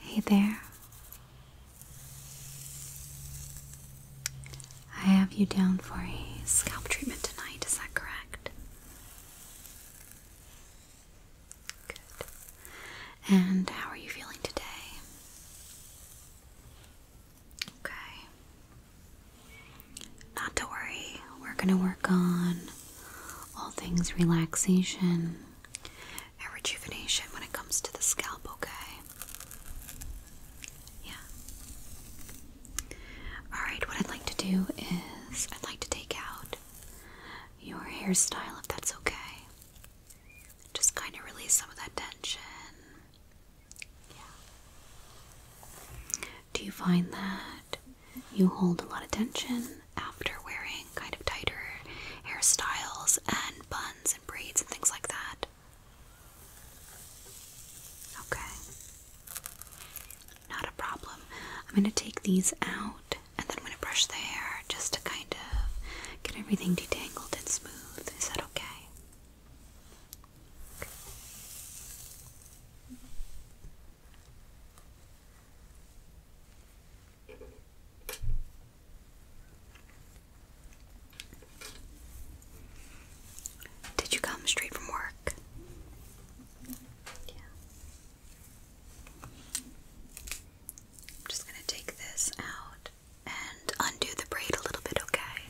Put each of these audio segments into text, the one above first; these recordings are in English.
Hey there. I have you down for a scalp treatment tonight, is that correct? Good. And how are you feeling today? Okay. Not to worry, we're going to work on all things relaxation and rejuvenation when it comes to the scalp, okay? Yeah. Alright, what I'd like to do is I'd like to take out your hairstyle if that's okay. Just kind of release some of that tension. Yeah. Do you find that you hold a lot of tension after wearing kind of tighter hairstyles and buns and braids and things like that. Okay. Not a problem. I'm going to take these out and then I'm going to brush the hair just to kind of get everything detangled and smooth. Is that okay? okay. Did you come straight from work? Yeah. I'm just going to take this out and undo the braid a little bit, okay?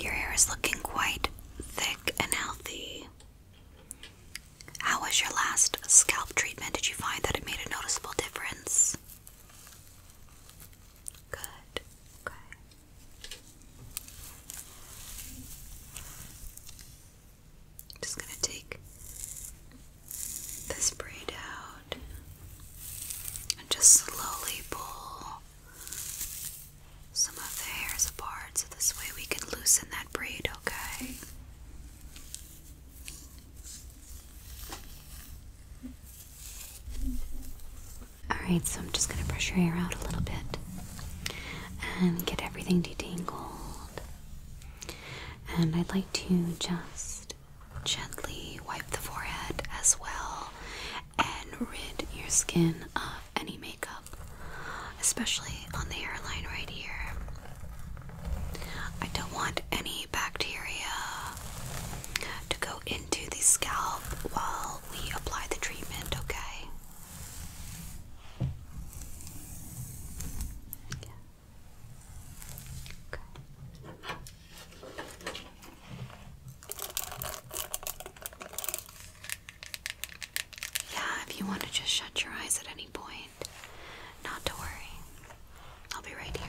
Your hair is looking quite thick and healthy. How was your last scalp treatment? Did you find that it made a noticeable difference? Good just going to take this braid out and just slowly pull some of the hairs apart so this way we can loosen that braid, okay? Alright, so I'm just going to brush your hair out a little bit and get everything detangled. And I'd like to just gently wipe the forehead as well and rid your skin of any makeup, especially on the hairline right here. I don't want any bacteria to go into the scalp while we apply the treatment, okay? Yeah, if you want to just shut your eyes at any point, not to worry. I'll be right here.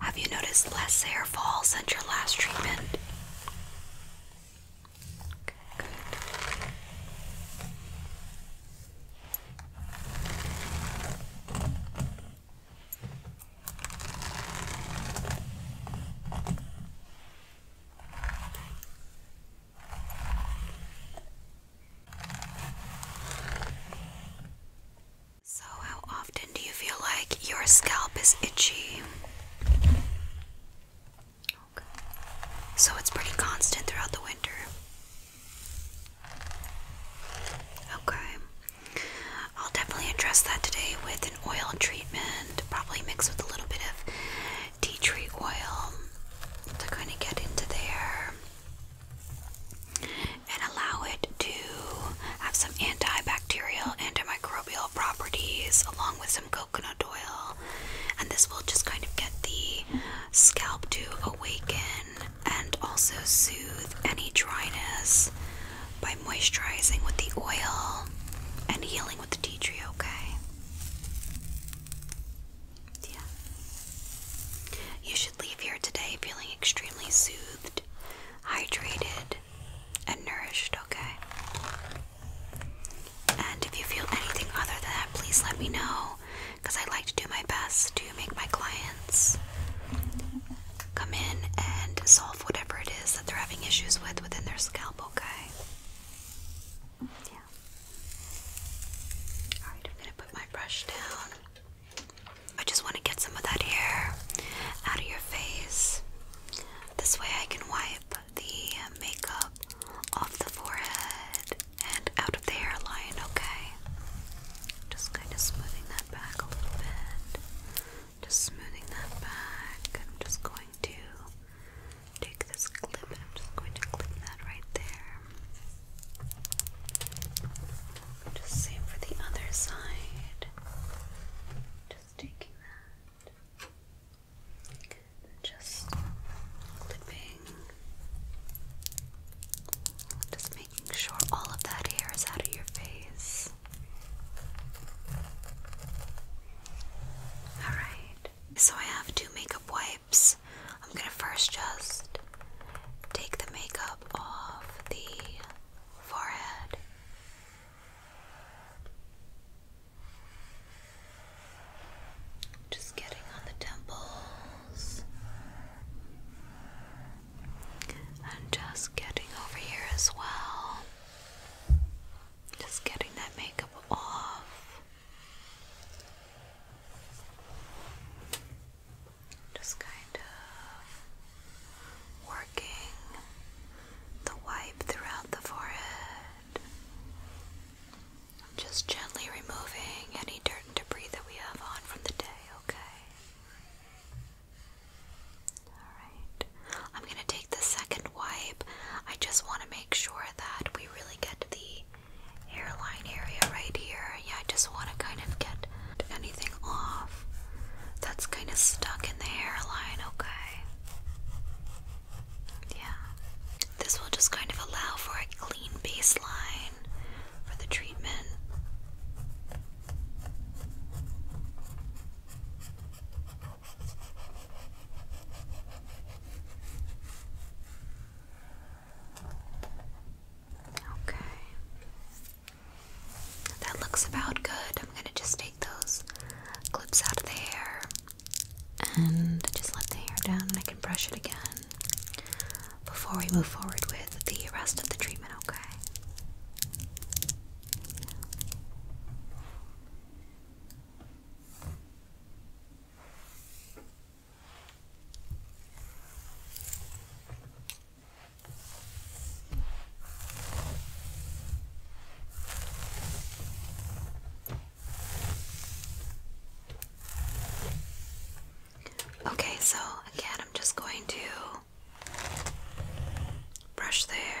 Have you noticed less hair fall since your last treatment? So, how often do you feel like your scalp is itchy? Okay. So, it's pretty constant throughout the winter. Okay. I'll definitely address that today with an oil treatment, probably mixed with a little bit of tea tree oil to kind of get into there and allow it to have some antibacterial, antimicrobial properties along with some coconut oil. And this will just kind of get the scalp to awaken and also soothe any dryness by moisturizing with the oil and healing with the tea tree, okay? Yeah. You should leave here today feeling extremely soothed, hydrated, and nourished, okay? And if you feel anything other than that, please let me know because I would like to do my best to make my clients come in and solve whatever it is that they're having issues with within their scalp, okay? Alright, I'm gonna put my brush down. I just want to get some of that hair out of your face. This way I can wipe the makeup off the forehead and out of the hairline, okay? Just kind of smoothing that back a little bit. Just smoothing that back. I'm just going to take this clip and I'm just going to clip that right there. Just same for the other side. Just taking that. Just clipping. Just making sure all of that hair is out of your face. Alright. So I have two makeup wipes. I'm gonna first just take the makeup off the forehead. Just getting on the temples and just getting over here as well. Just getting that makeup off. Just kind of working the wipe throughout the forehead. Just gently removing any dirt and debris that we have on from the day, okay? Alright. I'm going to take the second wipe. I just want to make sure that we really get the hairline area right here. Yeah, I just want to kind of get anything off that's kind of stuck in the hairline, okay? Yeah. This will just kind of allow for a clean baseline for the treatment. Okay. That looks about good. I'm going to just take those clips out of the hair and just let the hair down and I can brush it again before we move forward with the rest of the treatment, okay? Okay, so again, I'm just going to brush the hair.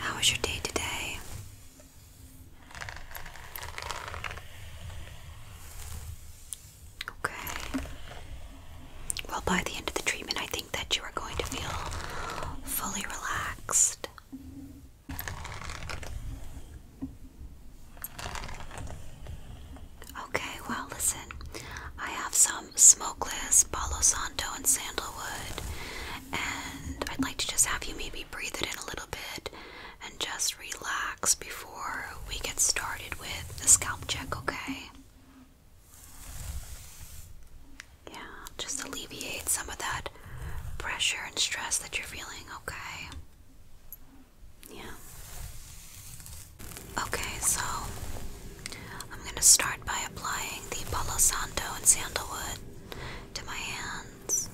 How was your day today? Okay. Well, by the end of the treatment, I think that you are going to feel fully relaxed. Okay, well, listen, I have some um, smokeless, Palo Santo, and sandalwood. And I'd like to just have you maybe breathe it in a little bit and just relax before we get started with the scalp check, okay? Yeah, just alleviate some of that pressure and stress that you're feeling, okay? Yeah. Okay, so I'm going to start by applying the Palo Santo and sandalwood to my hands.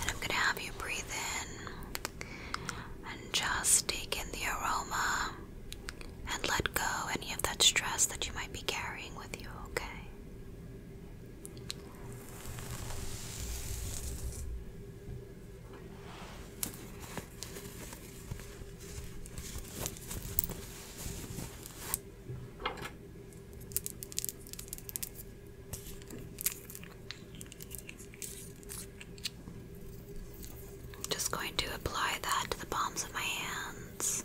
And I'm going to have you breathe in and just take in the aroma and let go any of that stress that you might be carrying with you, okay? I'm just going to apply that to the palms of my hands.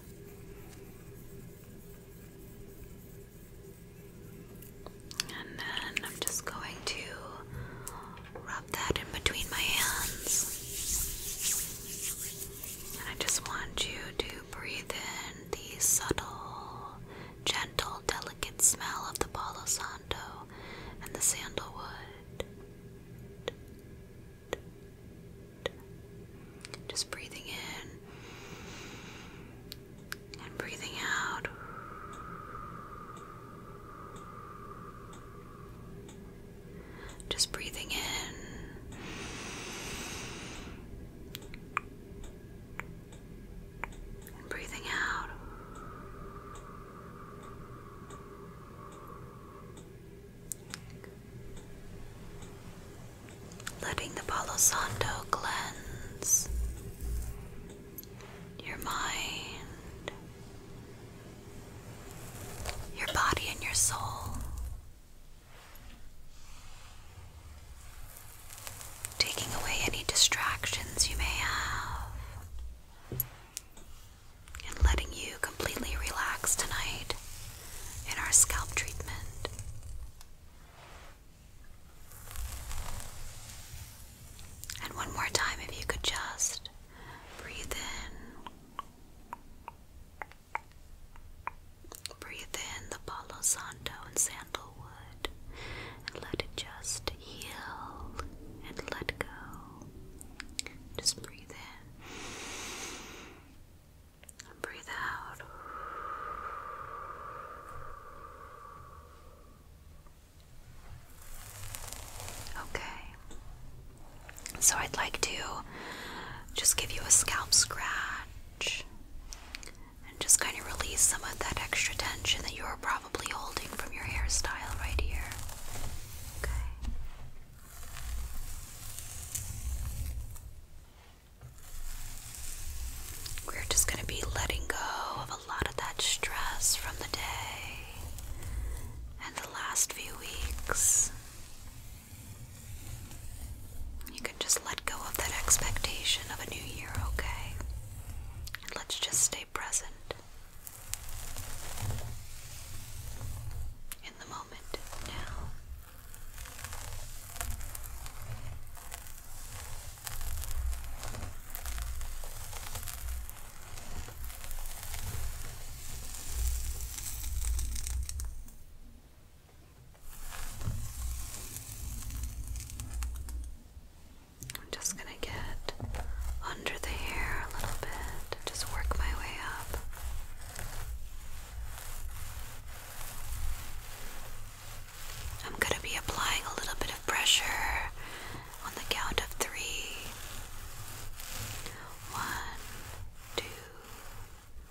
And then I'm just going to rub that in between my hands. I just want you to breathe in the subtle, gentle, delicate smell of the Palo Santo and the sandalwood. Just breathing in and breathing out. Just breathing in. breathing out. Letting the Palo Santo cleanse your mind, your body and your soul, taking away any distractions you may have, and letting you completely relax tonight in our scalp treatment. And one more time, if you could just breathe in Breathe in the Palo Santo and sandalwood and let it just heal and let go. Just breathe in breathe out. Okay, so I'd like to just give you a scalp scratch and just kind of release some of that extra tension that you are probably holding from your hairstyle right here. Okay. We're just going to be letting go of a lot of that stress from the day and the last few weeks. You can just let go of that expectation of a new year, okay? And let's just stay present in the moment now. I'm just going to get under the hair a little bit, just work my way up. I'm going to be applying a little bit of pressure on the count of three. One, two,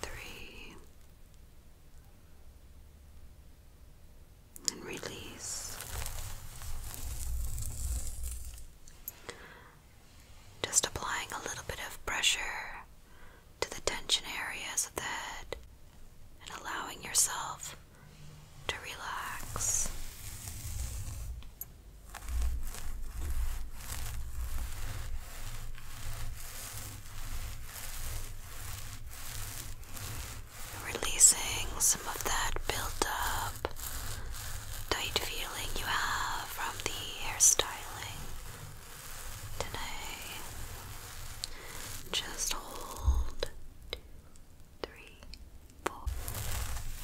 three, and release. Just applying a little bit of pressure to the tension areas of the head and allowing yourself to relax. Releasing some of that built up, tight feeling you have from the hairstyling today. Just hold two, three, four,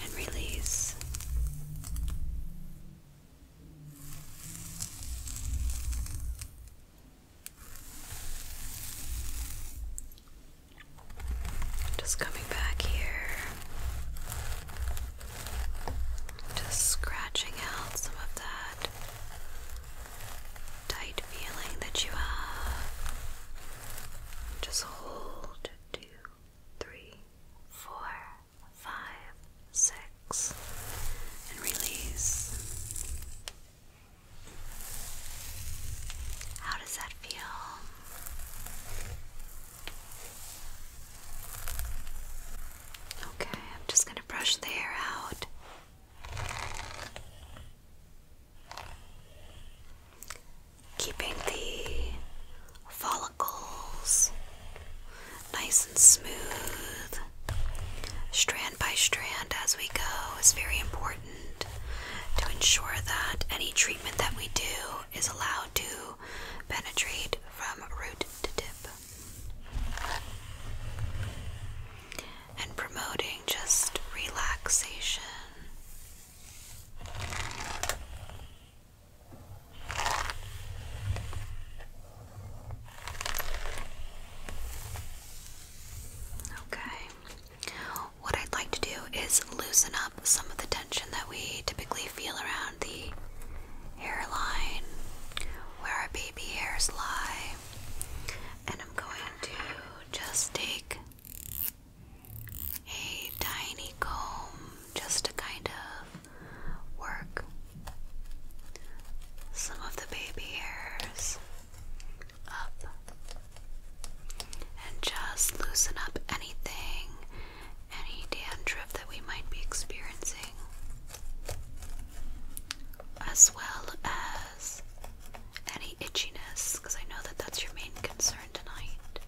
and release. Just coming back here, just scratching out some of that tight feeling that you have. Just hold two, three, four five, six, and release. How does that feel? Okay, I'm just going to brush the hair out. Keeping the follicles, nice and smooth, strand by strand as we go, is very important to ensure that any treatment that we do is allowed to penetrate from root to tip. And promoting just relaxation. Okay. What I'd like to do is loosen up some of the tension that we typically feel around the hairline, where our baby hairs lie. And I'm going to just take a tiny comb just to kind of work some of the baby hairs up and just loosen up anything, any dandruff that we might be experiencing, as well as any itchiness, because I know that that's your main concern tonight.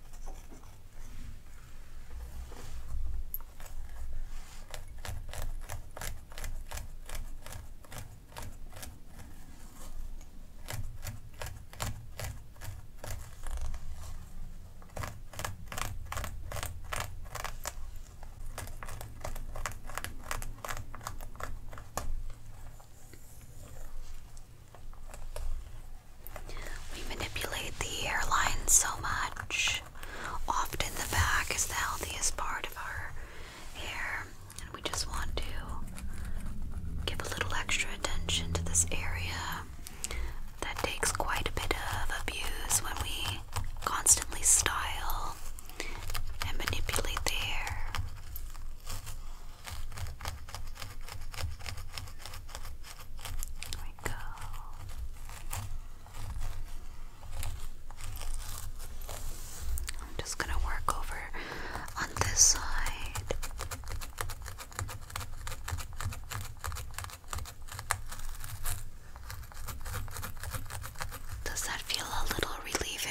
We manipulate the airline so much Often the back is the healthiest part of our hair, and we just want to give a little extra attention to this area that takes quite a bit of abuse when we constantly style and manipulate the hair. There we go. I'm just going to work over on this side. Does that feel a little relieving?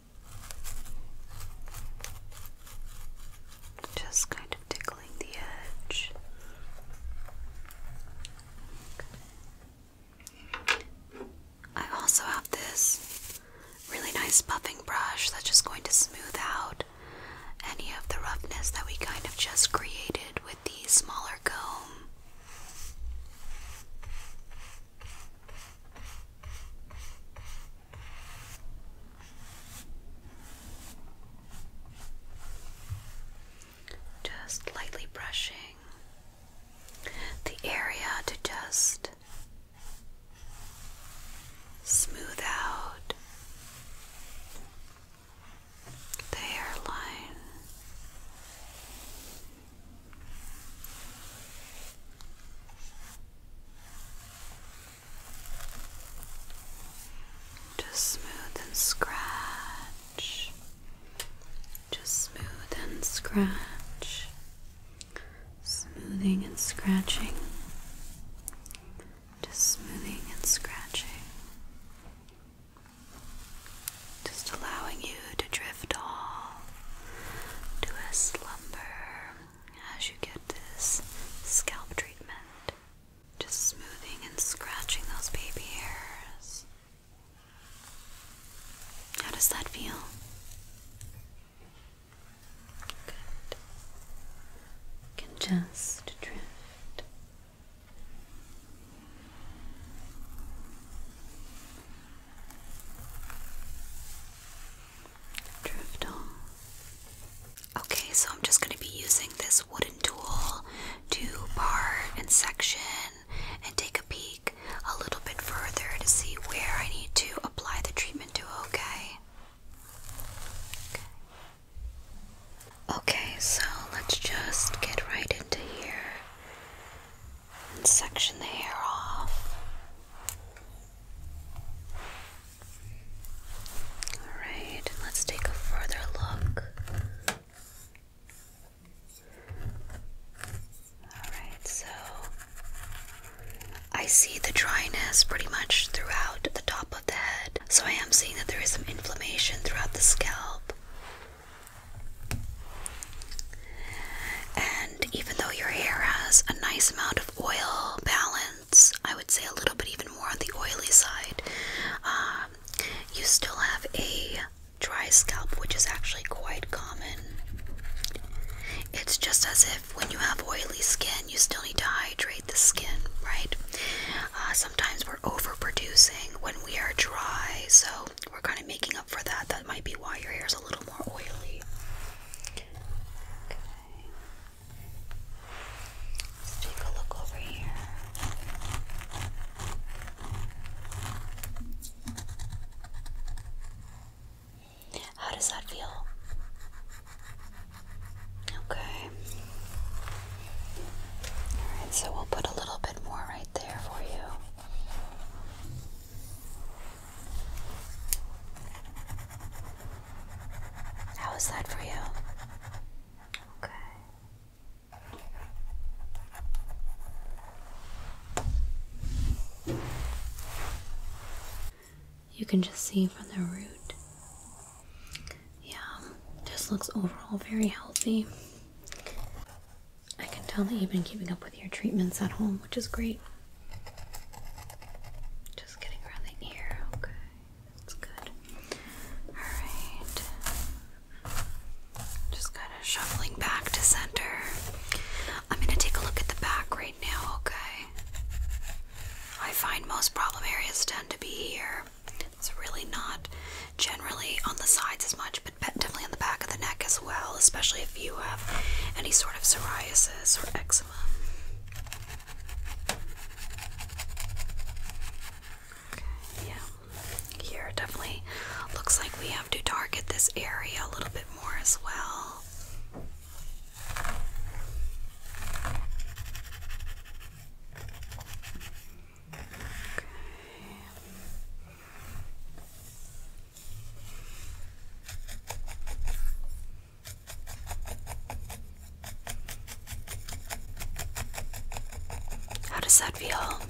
Just kind of tickling the edge. I also have this really nice buffing brush that's just going to smooth out any of the roughness that we kind of just created with the smaller comb. Just lightly brushing the area to just smooth out the hairline. Just smooth and scratch. Just smooth and scratch. Smoothing and scratching. Just smoothing and scratching. Just allowing you to drift off to a slumber as you get this scalp treatment. Just smoothing and scratching those baby hairs. How does that feel? Good. can just drift. Okay, so I'm just going to be using this wooden tool to part and section and take a peek a little bit further to see where I need to apply the treatment to, Okay, okay so let's just get right into here and section the hair off. Alright, let's take a further look. Alright, so I see the dryness pretty much throughout the top of the head. So I am seeing that there is some inflammation throughout the scalp. And even though your hair has a nice amount of oil balance, I would say a little bit even more on the oily side, um, you still have a dry scalp, which is actually quite common. It's just as if when you have oily skin, you still need to hydrate the skin, right? Uh, sometimes we're overproducing when we are dry, so we're kind of making up for that. That might be why your hair is a little more oily. Let's take a look over here. How does that feel? Okay. Alright, so we'll put a little bit more right there for you. How is that for you? Okay. You can just see from the root. Yeah, this looks overall very healthy. I can tell that you've been keeping up with your treatments at home, which is great. Just getting around the ear, okay. That's good. Alright. Just kind of shuffling back to center. I'm going to take a look at the back right now, okay? I find most problem areas tend to be here. It's really not generally on the sides as much, but definitely on the back of the neck as well well, especially if you have any sort of psoriasis or eczema. Okay, yeah, here definitely looks like we have to target this area a little bit more as well. Okay. How does that feel?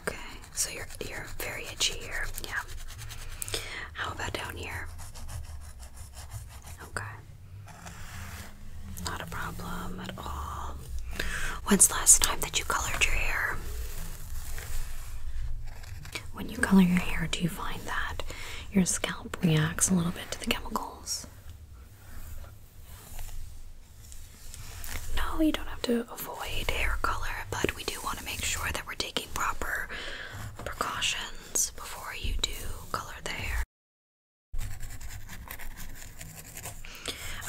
Okay, so you're you're very itchy here. Yeah. How about down here? Okay. Not a problem at all. When's last time that you colored your hair? When you color your hair, do you find that your scalp reacts a little bit to the chemicals? No, you don't have to avoid hair color, but we do want to make sure that we're taking proper precautions before you do color the hair.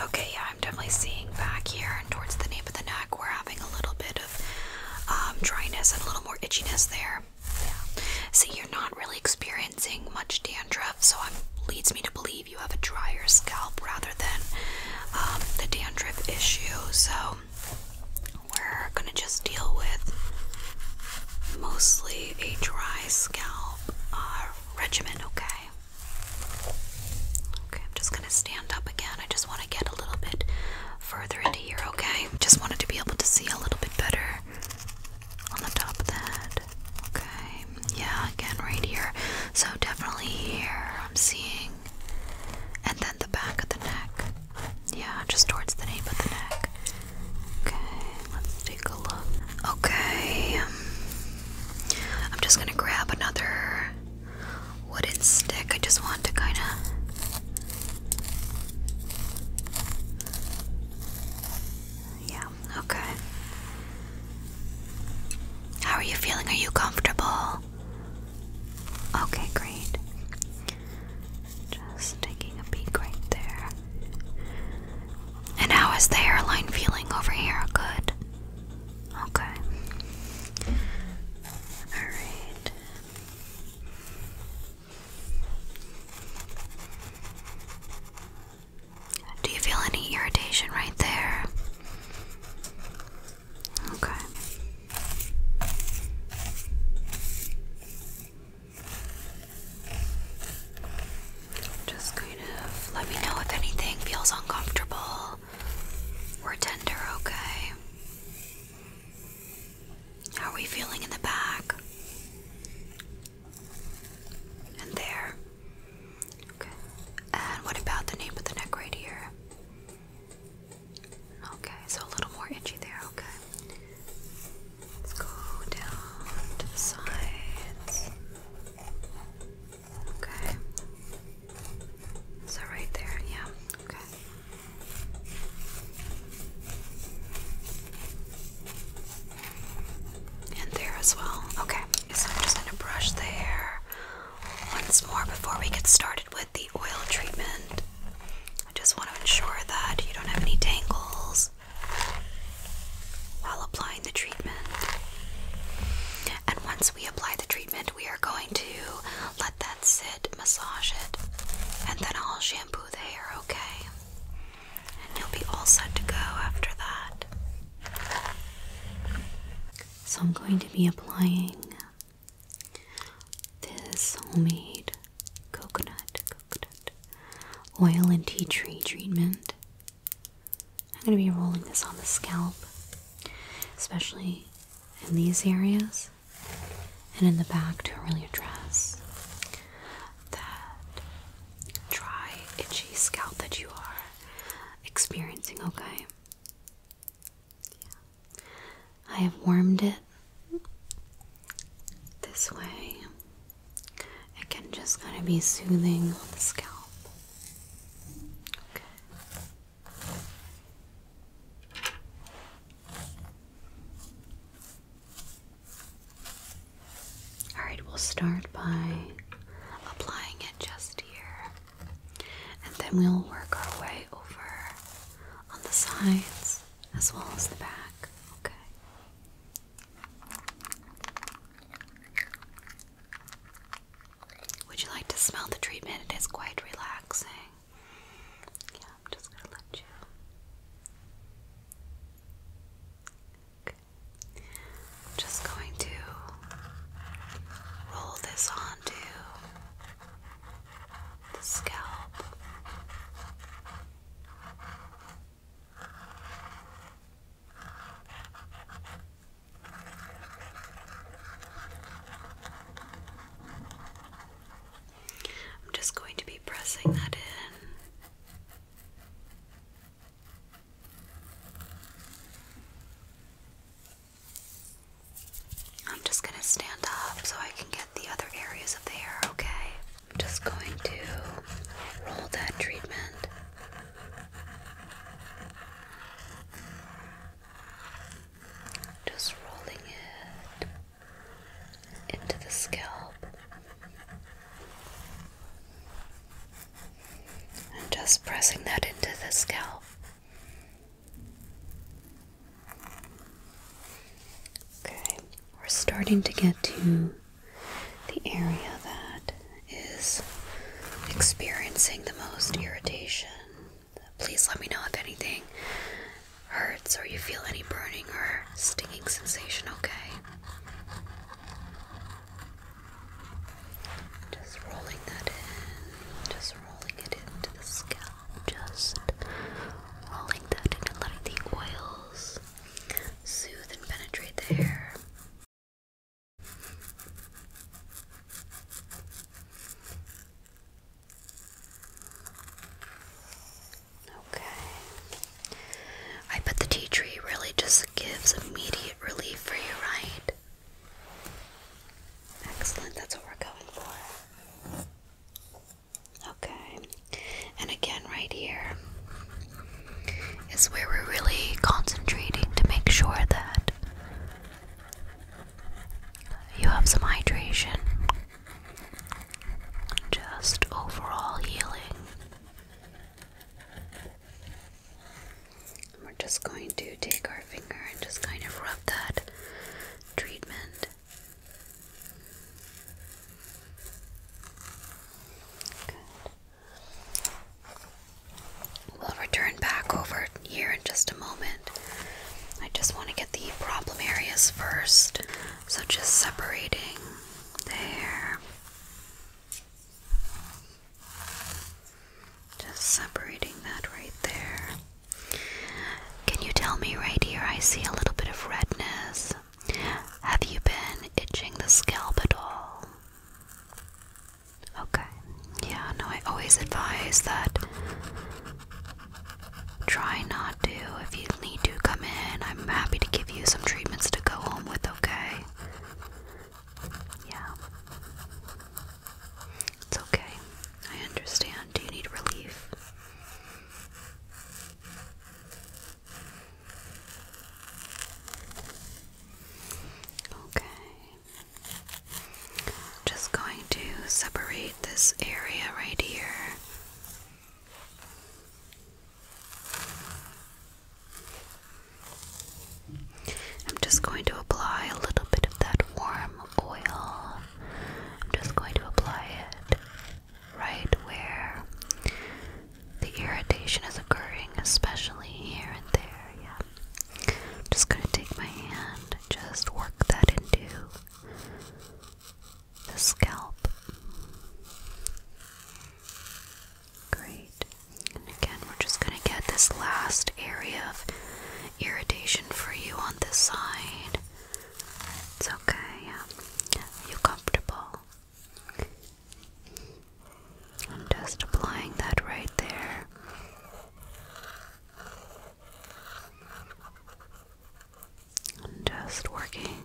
Okay, yeah, I'm definitely seeing back here and towards the nape of the neck, we're having a little bit of um, dryness and a little more itchiness there. Yeah. See, you're not really experiencing much dandruff, so it leads me to believe you have a drier scalp rather than um, the dandruff issue. So we're gonna just deal with mostly a dry scalp uh, regimen, okay? Okay, I'm just gonna stand up again. I just want to get a little bit further into here, okay? Just wanted to be able to see a little bit better on the top of the head. Okay, yeah, again, right here. So definitely here, I'm seeing. And then the back of the neck. Yeah, just towards the nape of the neck. Okay, let's take a look. Okay, um, I'm just gonna grab another wooden stick. I just want to kind of. Yeah, okay. How are you feeling? Are you comfortable? Okay, great. Just taking a peek right there. And how is the hairline feeling over here? Good. Okay. Alright. Do you feel any irritation right there? Okay. Just kind of let me know if anything feels uncomfortable or tender, okay? How are we feeling in the back? And there. Okay. And what about the nape of the neck right here? Okay, so a little more itchy there, okay. Let's go down to the sides. Okay. So right there, yeah, okay. And there as well. Okay, so I'm just gonna brush the hair once more before we get started with the oil treatment. I just want to ensure that you don't have any tangles while applying the treatment. And once we apply the treatment, we are going to let that sit, massage it, and then I'll shampoo the hair, okay? And you'll be all set to go after that. So I'm going to be applying this homemade coconut coconut oil and tea tree treatment. I'm going to be rolling this on the scalp, especially in these areas and in the back to really address that dry, itchy scalp that you are experiencing, okay? I have warmed it this way. It can just kind of be soothing on the scalp. Okay. All right, we'll start by applying it just here, and then we'll work our way over on the sides as well as the back. Okay. Would you like to smell the treatment? It is quite relaxing. Yeah, I'm just gonna let you. just going to roll this onto the scalp. I'm just going to be pressing that in. I'm just going to stand up so I can get the other areas of the hair, okay? I'm just going to roll that treatment just rolling it into the scalp and just pressing that into the scalp. Okay, we're starting to get to the area that is experiencing the most irritation please let me know if anything hurts or you feel any burning or stinging sensation, okay? Just rolling that in, just rolling it into the scalp, just rolling that in letting the oils soothe and penetrate the hair. Okay. I bet the tea tree really just gives immediate relief for you, right? Excellent, that's what we're going for. Okay. And again, right here is where we're really concentrating to make sure that you have some hydration just overall healing. We're just going to take our finger and just kind of rub that treatment we'll return back over here in just a moment. I just want to get the problem areas first. So just separating there. Just separating that right there. Can you tell me right here? I see a little bit of redness. Have you been itching the scalp at all? Okay. Yeah, no, I always advise that Try not to. If you need to come in, I'm happy to give you some treatments to go home with, okay? Yeah. It's okay. I understand. Do you need relief? Okay. Just going to separate this area right here. I'm just going to apply a little bit of that warm oil. I'm just going to apply it right where the irritation is occurring, especially here and there. Yeah. I'm just going to take my hand and just work that into the scalp. Great. And again, we're just going to get this last area of irritation for you on this side. It's okay. you comfortable? just applying that right there. I'm just working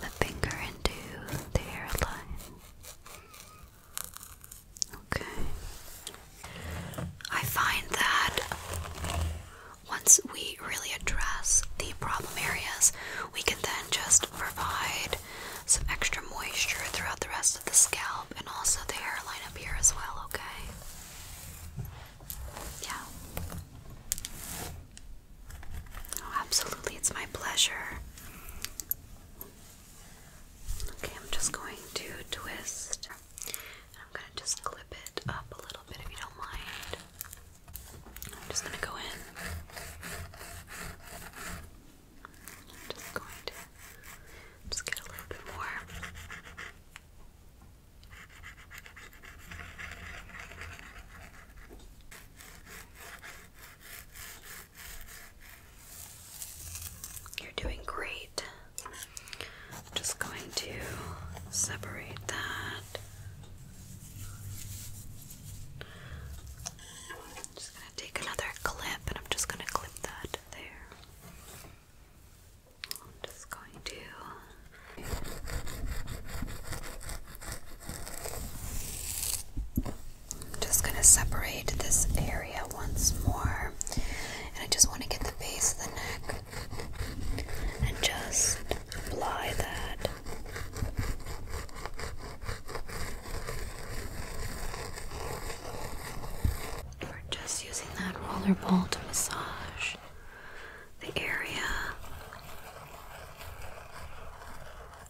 the finger into the hairline. Okay. I find that once we really address the problem areas, we can then just provide some extra moisture throughout the rest of the scalp and also the hairline up here as well, okay? Yeah. Oh, absolutely. It's my pleasure. Okay, I'm just going to twist. I'm going to just clip it up a little bit if you don't mind. I'm just going to go in. I'm just going to just get a little bit more. You're doing great. I'm just going to separate that. just going to take another clip and I'm just going to clip that there. I'm just going to I'm just going to separate this area once more and I just want to get the base of the neck and just apply that we're just using that roller ball to massage the area.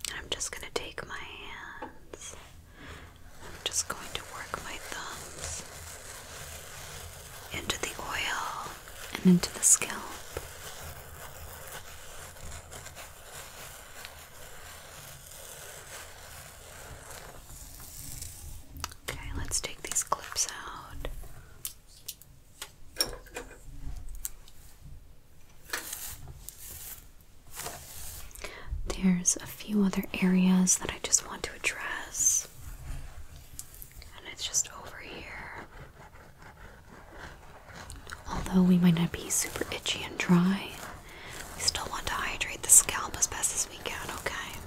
And I'm just going to take my hands. I'm just going to work my thumbs into the oil and into the scalp. Okay, let's take these clips out. There's a few other areas that I just want to address, and it's just over here. Although we might not be super itchy and dry, we still want to hydrate the scalp as best as we can, okay?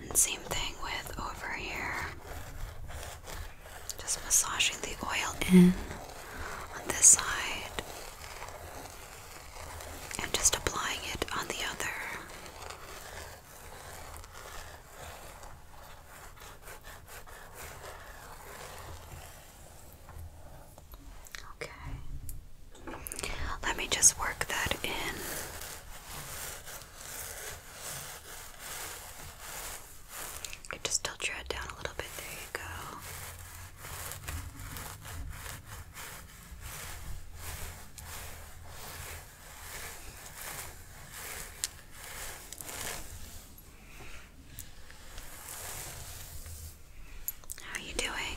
And same thing with over here. Just massaging the oil in on this side and just applying it on the other. Okay. Let me just work that in. could just tilt your head down a little bit. There you go. How are you doing?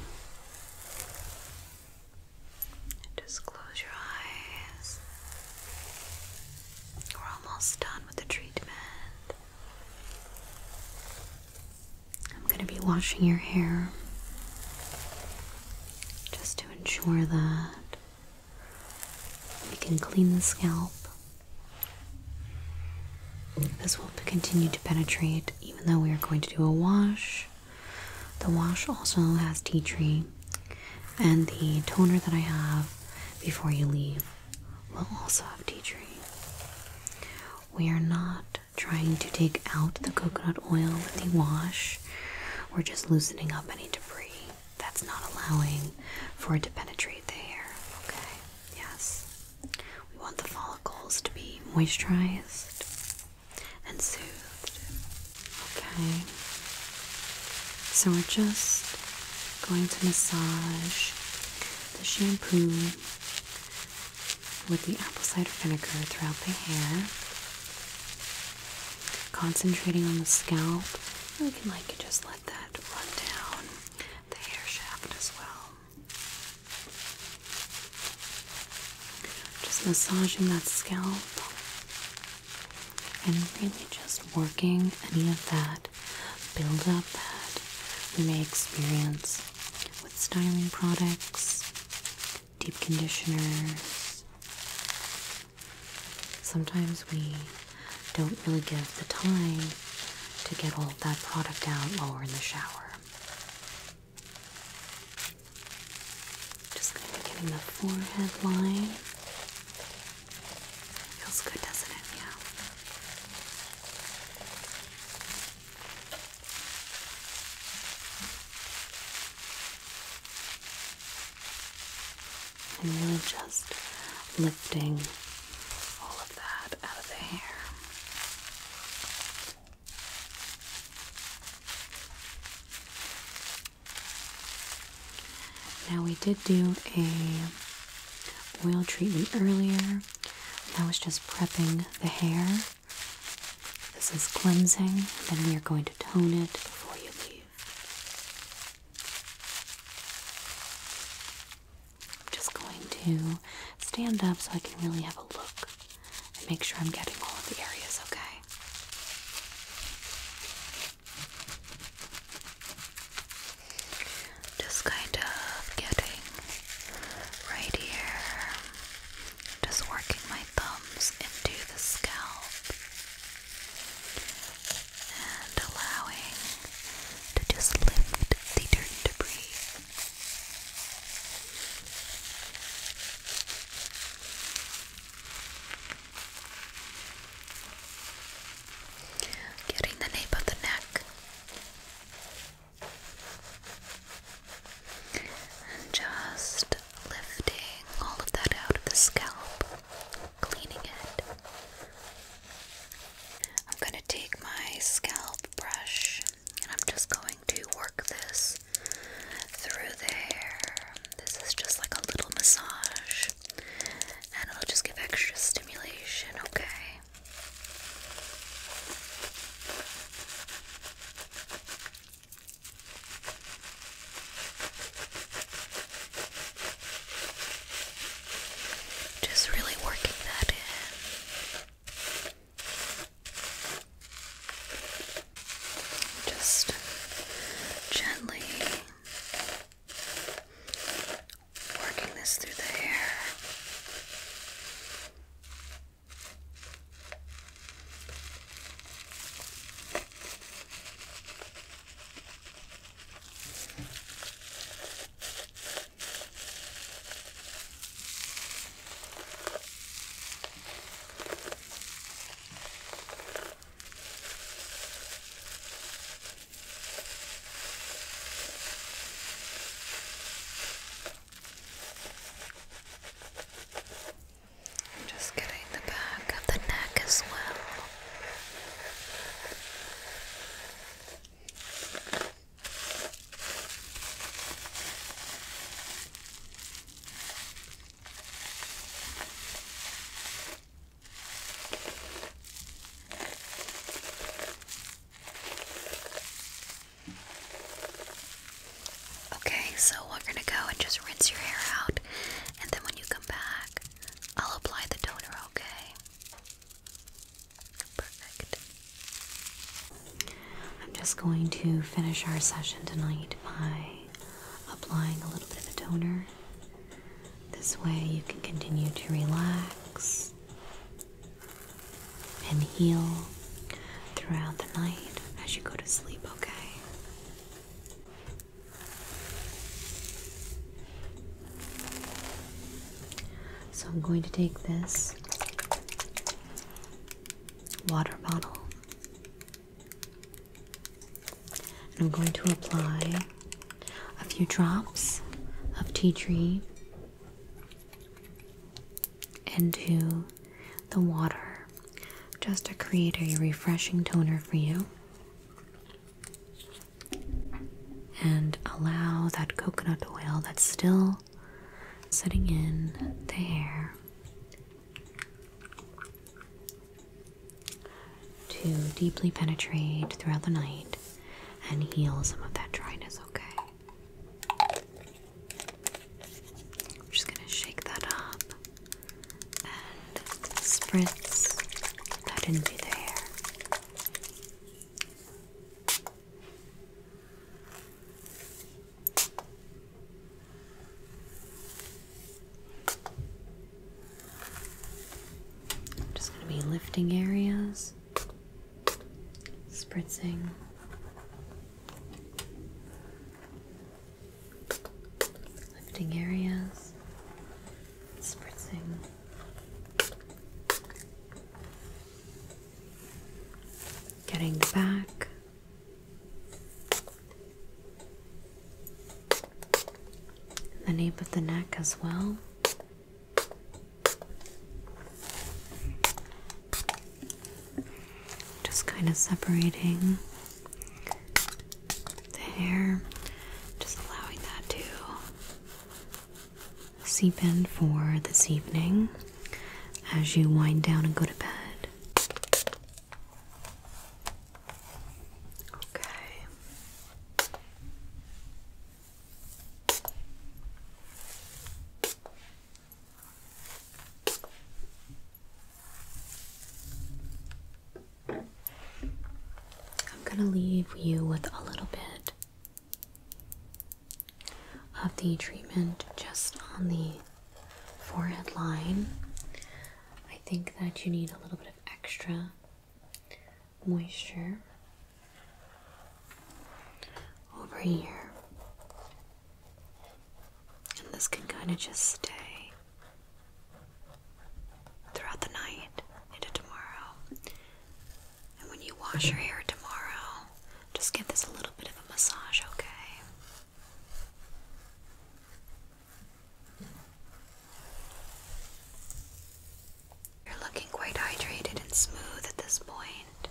Just close your eyes. We're almost done with the treatment. I'm going to be washing your hair just to ensure that we can clean the scalp this will continue to penetrate even though we are going to do a wash. The wash also has tea tree, and the toner that I have before you leave will also have tea tree. We are not trying to take out the coconut oil with the wash, we're just loosening up any debris that's not allowing for it to penetrate the hair. Okay, yes. We want the follicles to be moisturized and soothed. Okay. So we're just going to massage the shampoo with the apple cider vinegar throughout the hair. Concentrating on the scalp. And we can like just let that run down the hair shaft as well. Just massaging that scalp and really just working any of that buildup that we may experience with styling products, deep conditioners. Sometimes we don't really give the time to get all that product out while we're in the shower. Just gonna of getting the forehead line. Feels good, doesn't it? Yeah. And really just lifting all that out of the hair. Now we did do a oil treatment earlier. That was just prepping the hair. This is cleansing, and then we are going to tone it before you leave. I'm just going to stand up so I can really have a look and make sure I'm getting all of the areas okay. Just kind of getting right here, just working my thumbs into the scalp and allowing to just lift the dirt debris. Getting the nape of the neck and just lifting all of that out of the scalp, cleaning it, I'm going to take my scalp brush and I'm just going to work this through there. This is just like a little massage and it'll just give extra stimulation, okay? Just really working that in. Just gently working this through the hair. I'm just getting the back of the neck as well. Okay, so we're gonna go and just rinse your hair out, and then when you come back, I'll apply the toner, okay? Perfect. I'm just going to finish our session tonight by applying a little bit of a toner. This way you can continue to relax and heal throughout the night as you go to sleep, okay? So I'm going to take this water bottle and I'm going to apply a few drops of tea tree into the water just to create a refreshing toner for you and allow that coconut oil that's still sitting in the hair to deeply penetrate throughout the night and heal some of that dryness, okay? I'm just gonna shake that up and spritz that into the hair. I'm just going to be lifting areas, spritzing. Lifting areas, spritzing getting back the nape of the neck as well. Just kind of separating the hair, just allowing that to seep in for this evening as you wind down and go to bed. Okay. I'm going to leave you with a little bit of the treatment just on the forehead line. I think that you need a little bit of extra moisture over here, and this can kind of just stay throughout the night into tomorrow and when you wash your hair tomorrow, just give this a little bit of a massage, okay? You're looking quite hydrated and smooth at this point.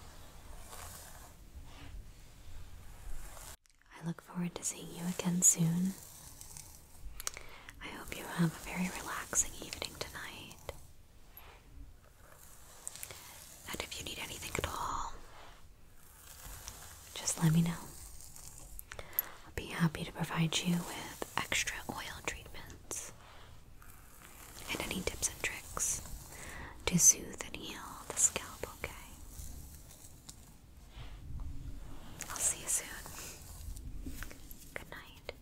I look forward to seeing you again soon. I hope you have a very relaxing evening tonight. And if you need anything at all, just let me know. I'll be happy to provide you with extra oil treatments and any tips and tricks to soothe and heal the scalp, okay? I'll see you soon. Good night.